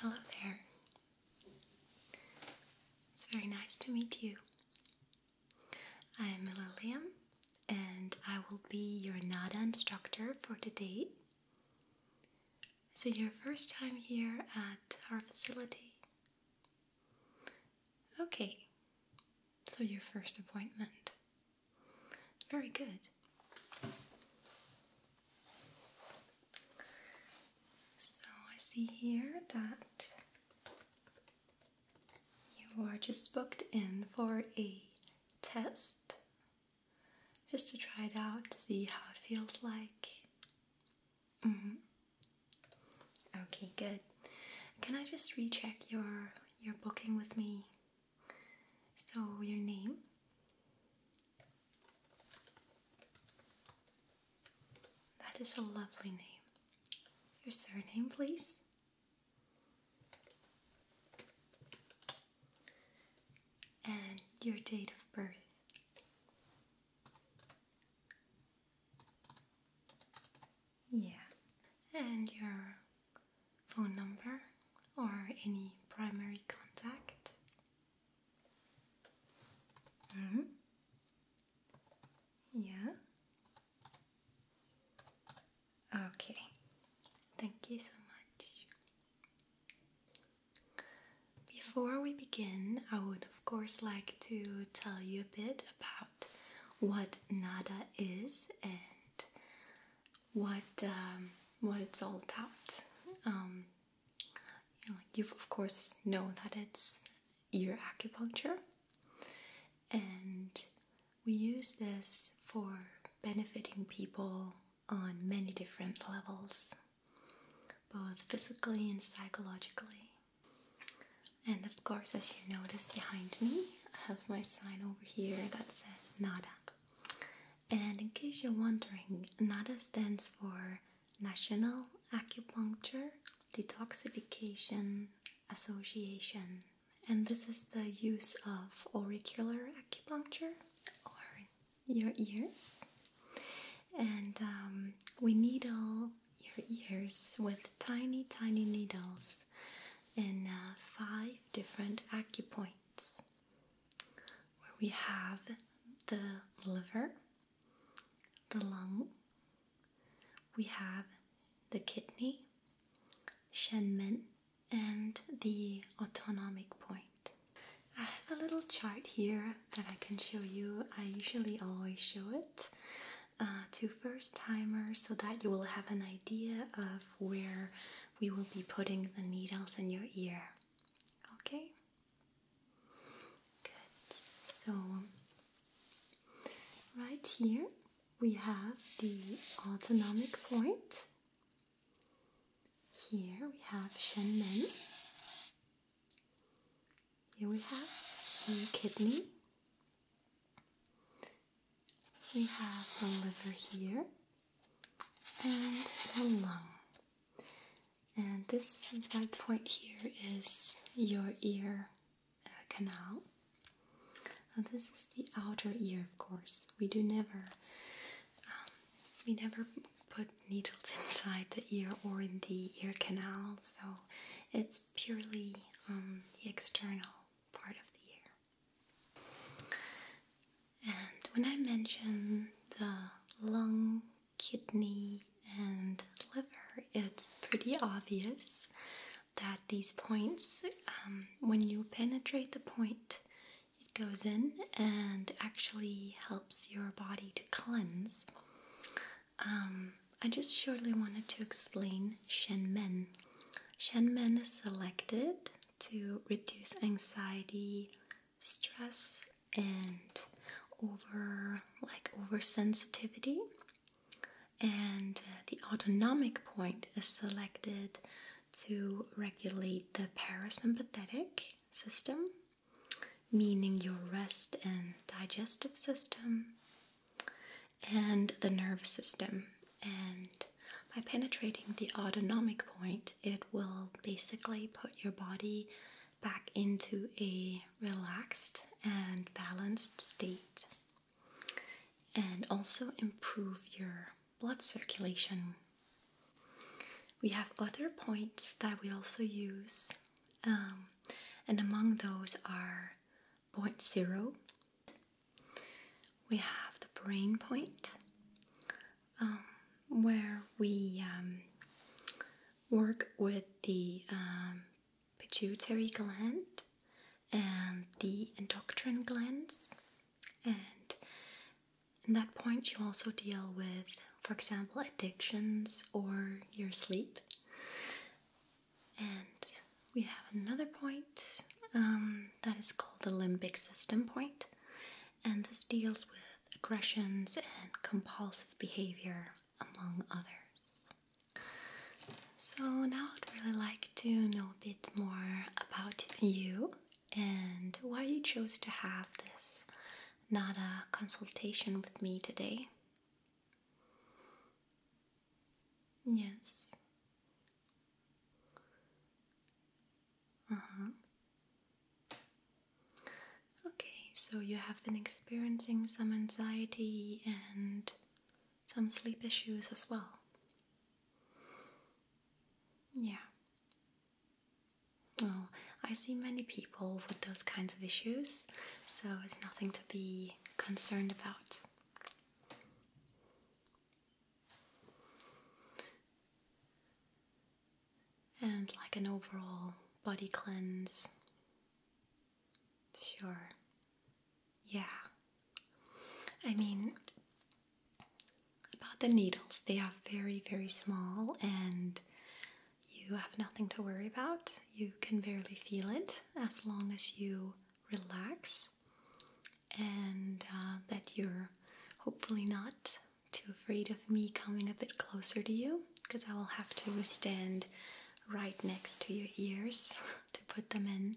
Hello there. It's very nice to meet you. I'm Lilian and I will be your NADA instructor for today. Is it your first time here at our facility? Okay, so your first appointment. Very good. So I see here that you are just booked in for a test just to try it out, see how it feels like. Mm -hmm. Okay, good. Can I just recheck your your booking with me? So your name? That is a lovely name. Your surname, please. And your date of birth. Yeah, and your phone number or any primary contact. Mm -hmm. Yeah. Okay, thank you so much. Before we begin, I would of course like to tell you a bit about what nada is and what um, what it's all about. Um, you you of course know that it's ear acupuncture, and we use this for benefiting people on many different levels, both physically and psychologically. And of course, as you notice behind me, I have my sign over here that says NADA. And in case you're wondering, NADA stands for National Acupuncture Detoxification Association. And this is the use of auricular acupuncture or your ears. And um, we needle your ears with tiny, tiny needles in uh, five different acupoints where we have the liver, the lung, we have the kidney, Shenmen, and the autonomic point. I have a little chart here that I can show you. I usually always show it uh, to first timers so that you will have an idea of where we will be putting the needles in your ear. Okay? Good. So, right here we have the autonomic point. Here we have Shenmen. Here we have some kidney. We have the liver here and the lung. And this white point here is your ear uh, canal. this is the outer ear, of course. We do never, um, we never put needles inside the ear or in the ear canal, so it's purely um, the external part of the ear. And when I mention the lung, kidney, and liver, it's pretty obvious that these points, um, when you penetrate the point, it goes in and actually helps your body to cleanse um, I just shortly wanted to explain Shenmen. Shenmen is selected to reduce anxiety, stress, and over like oversensitivity. And uh, the autonomic point is selected to regulate the parasympathetic system, meaning your rest and digestive system and the nervous system. And by penetrating the autonomic point, it will basically put your body back into a relaxed and balanced state and also improve your blood circulation. We have other points that we also use, um, and among those are point zero, we have the brain point um, where we um, work with the um, pituitary gland and the endocrine glands, and in that point, you also deal with, for example, addictions or your sleep. And we have another point um, that is called the limbic system point, and this deals with aggressions and compulsive behavior, among others. So, now I'd really like to know a bit more about you and why you chose to have this NADA consultation with me today. Yes. Uh huh. Okay, so you have been experiencing some anxiety and some sleep issues as well. Yeah. Oh, I see many people with those kinds of issues, so it's nothing to be concerned about and like an overall body cleanse. Sure. Yeah. I mean, about the needles, they are very, very small and you have nothing to worry about. You can barely feel it as long as you relax and uh, that you're hopefully not too afraid of me coming a bit closer to you because I will have to stand right next to your ears to put them in.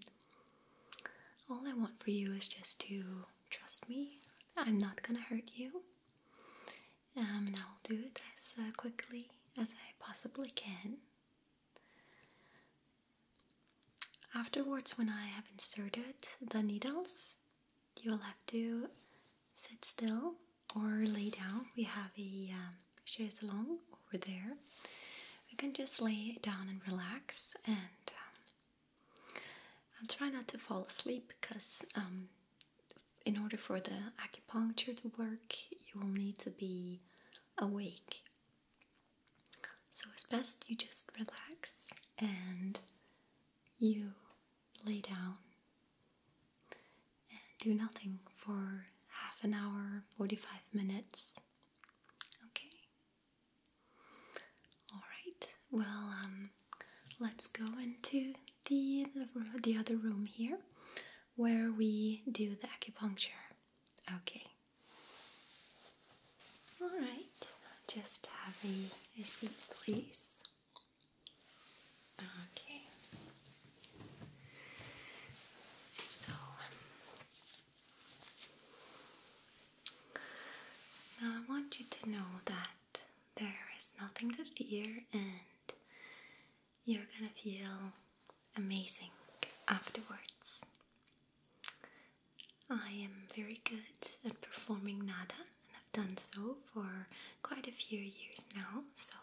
All I want for you is just to trust me. I'm not gonna hurt you. Um, and I'll do it as uh, quickly as I possibly can. Afterwards, when I have inserted the needles, you'll have to sit still or lay down. We have a um, chaise longue over there. You can just lay down and relax, and um, I'll try not to fall asleep because, um, in order for the acupuncture to work, you will need to be awake so as best you just relax and you lay down and do nothing for half an hour, 45 minutes. Okay? Alright, well, um, let's go into the, the other room here where we do the acupuncture. Okay. Alright, just have a, seat, please. Okay. So now I want you to know that there is nothing to fear and you're gonna feel amazing afterwards. I am very good at performing nada and I've done so for quite a few years now. So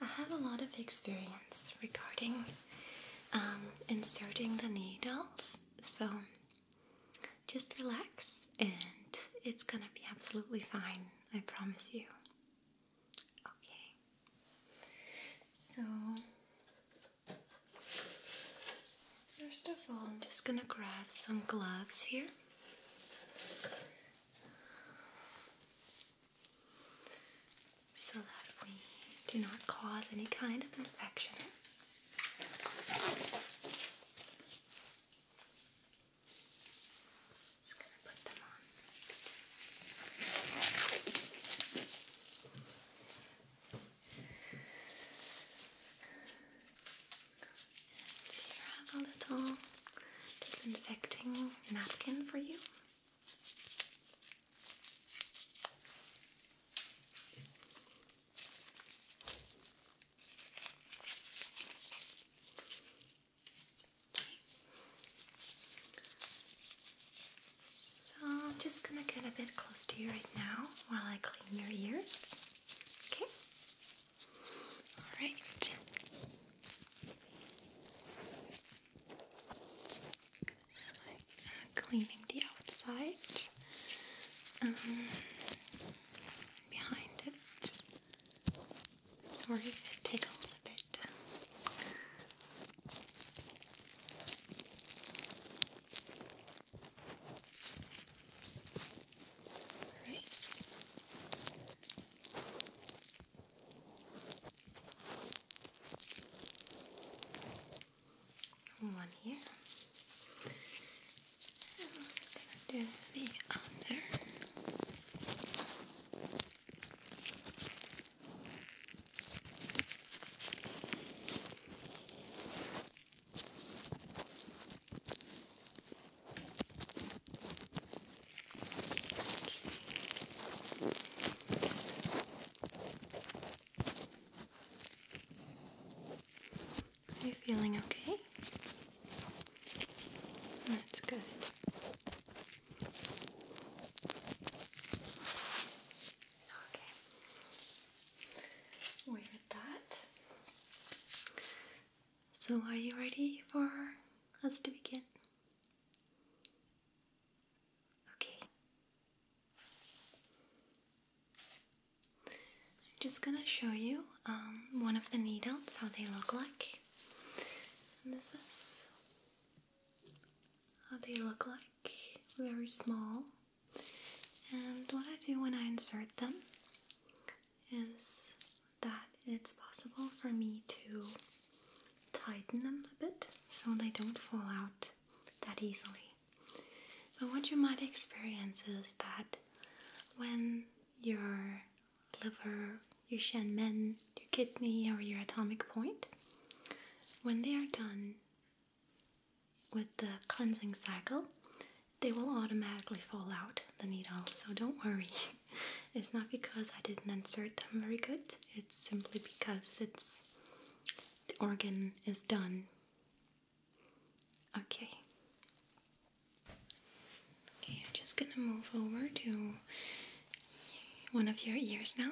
I have a lot of experience regarding um, inserting the needles. So just relax and it's gonna be absolutely fine, I promise you. Okay. So, first of all, I'm just going to grab some gloves here. So that we do not cause any kind of infection. Just gonna put them on here I have a little disinfecting napkin for you. So I'm just gonna get a bit close to you right now while I clean your ears. Okay? Alright. Just like cleaning the outside um, behind it, or if it tickles a bit, all right. One here. And I'm gonna do the other. Are you feeling okay? That's good. Okay. We got that. So, are you ready for us to begin? Okay. I'm just gonna show you um, one of the needles, how they look like. this is they look like, very small. And what I do when I insert them is that it's possible for me to tighten them a bit so they don't fall out that easily. But what you might experience is that when your liver, your Shen Men, your kidney, or your atomic point, when they are done with the cleansing cycle, they will automatically fall out the needles. So don't worry. it's not because I didn't insert them very good. It's simply because it's the organ is done. Okay. Okay, I'm just gonna move over to one of your ears now.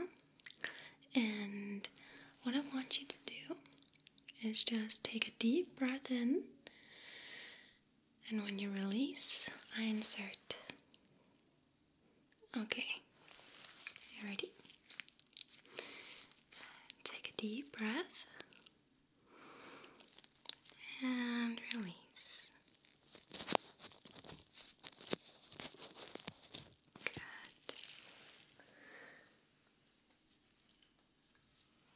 And what I want you to do is just take a deep breath in, and when you release, I insert. Okay, ready? Take a deep breath and release.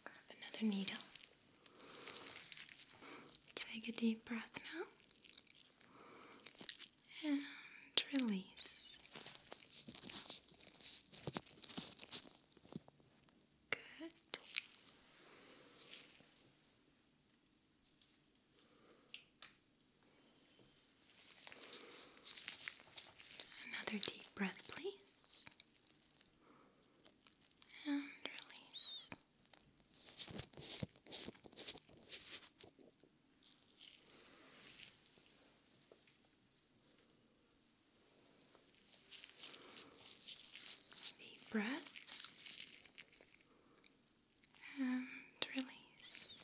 Grab another needle. Take a deep breath now. And release. Good. Another deep breath, please. And release. Deep breath. And release.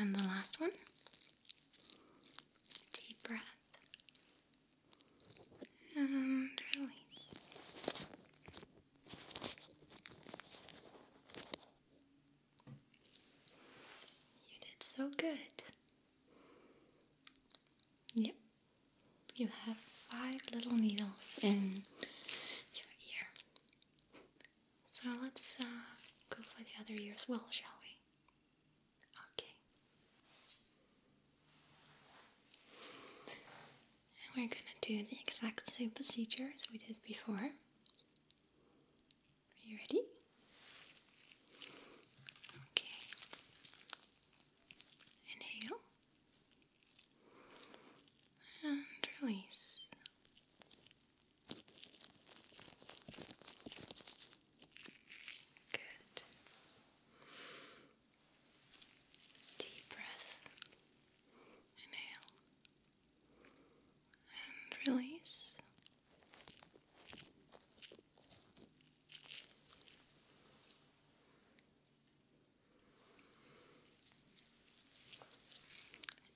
And the last one. Deep breath. And release. You did so good. Yep, you have five little needles in your ear. So let's uh, go for the other ear as well, shall we? Okay. And we're gonna do the exact same procedure as we did before. Are you ready? Okay. Inhale and release. Good. Deep breath. Inhale and release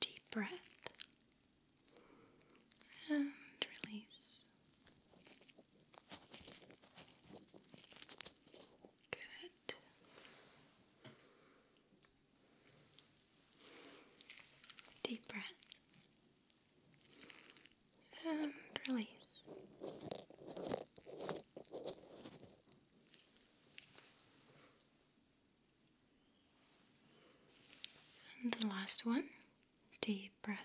deep breath and release. Good. Deep breath and release. And the last one, deep breath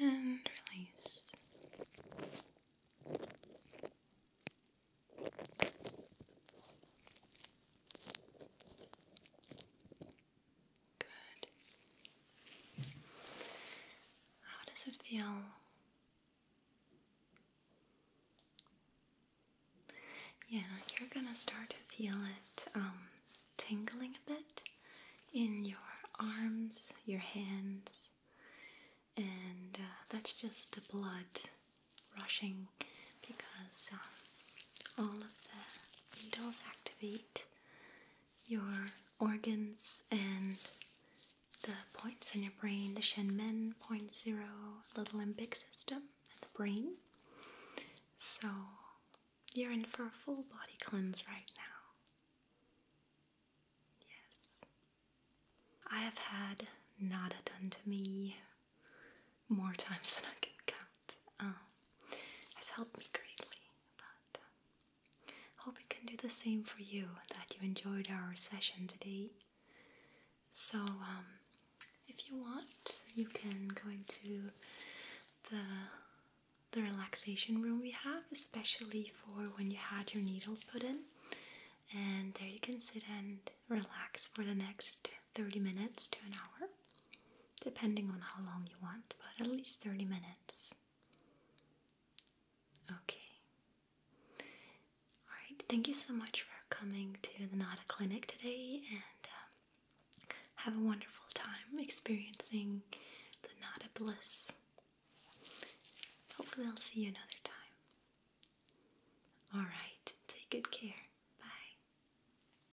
in and release. Good. How does it feel? Yeah, you're gonna start to feel it um, tingling a bit in your arms, your hands, and uh, that's just the blood rushing because um, all of the needles activate your organs and the points in your brain, the Shenmen point zero, the limbic system, and the brain. So you're in for a full body cleanse right now. Yes. I have had nada done to me more times than I can count. has um, helped me greatly, but um, hope it can do the same for you. That you enjoyed our session today. So, um, if you want, you can go into the the relaxation room we have, especially for when you had your needles put in. And there you can sit and relax for the next 30 minutes to an hour depending on how long you want, but at least 30 minutes. Okay. Alright, thank you so much for coming to the Nada Clinic today and um, have a wonderful time experiencing the Nada Bliss. Hopefully, I'll see you another time. Alright, take good care. Bye.